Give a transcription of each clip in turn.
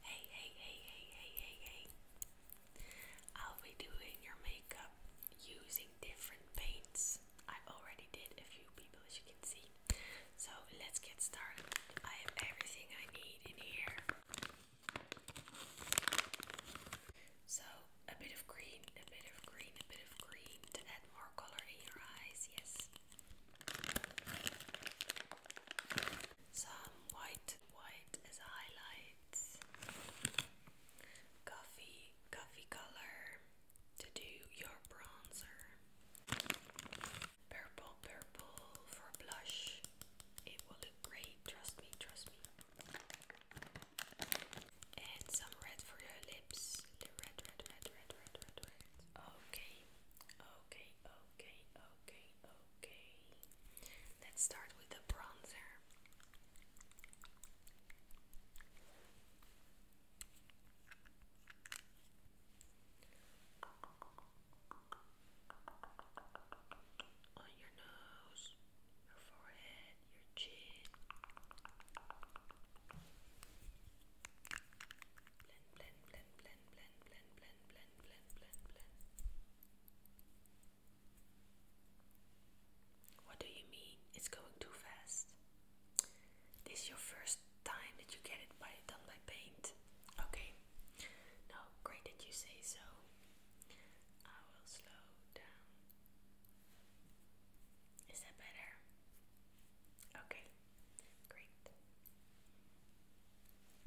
Hey, hey, hey, hey, hey, hey, hey. I'll be doing your makeup using different paints. I already did a few people, as you can see. So let's get started. I have everything I need in here. So a bit of green, a bit of green, a bit of green to add more color in your eyes. Yes. Some white, white as highlights. Coffee, coffee color to do your bronzer. Purple, purple for blush. It will look great, trust me, trust me. And some red for your lips. The red, red, red, red, red, red, red. Okay, okay, okay, okay, okay. Let's start with the bronzer. On your nose, your forehead, your chin. Blend, blend, blend, blend. What do you mean? It's going too fast. This is your first time that you get it by done by paint. Okay. No, great that you say so. I will slow down. Is that better? Okay. Great.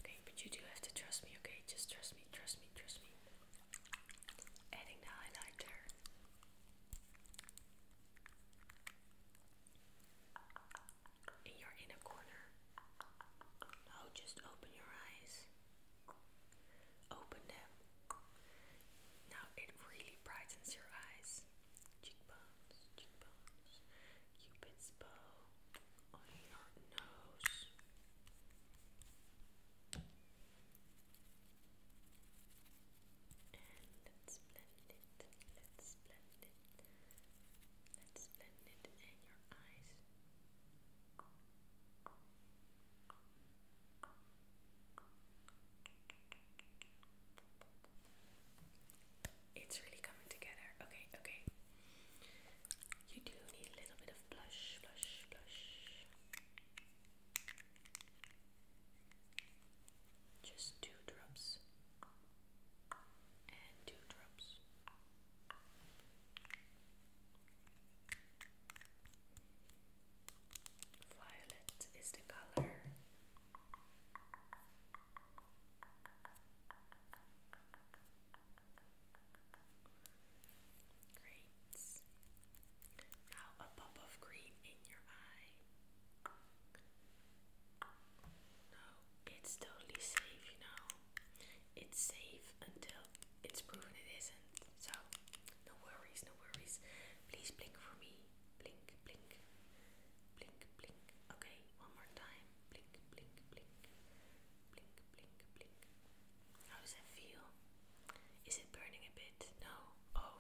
Okay, but you do have to trust me, okay? Just trust me, trust me, trust me. Adding the highlighter. In your inner corner. Now just open your eyes. Open them. Now it really brightens your eyes cheekbones, cheekbones, cupid's bow on your nose. And let's blend it, let's blend it, let's blend it in your eyes. It's really coming together. Okay, okay. You do need a little bit of blush, blush, blush. Just two drops and two drops. Violet is the color now a pop of green in your eye. No, it's totally safe, you know. It's safe until it's proven it isn't. So, no worries, no worries. Please blink for me blink, blink, blink, blink. Okay, one more time. Blink, blink, blink, blink, blink, blink. How does it feel? Is it burning a bit? No. Oh,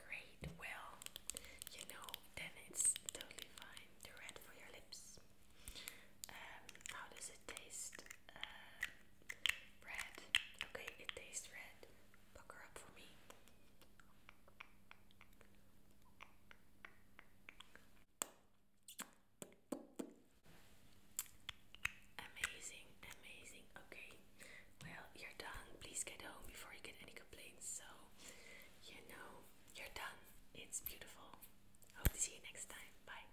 great. Well, you know, then it's totally fine. The red for your lips. Um, how does it taste? Uh, Red. Okay, it tastes red. Pucker up for me. Amazing, amazing. Okay, well, you're done. Please get home before you get any complaints. So, you know, you're done. It's beautiful. Hope to see you next time. Bye.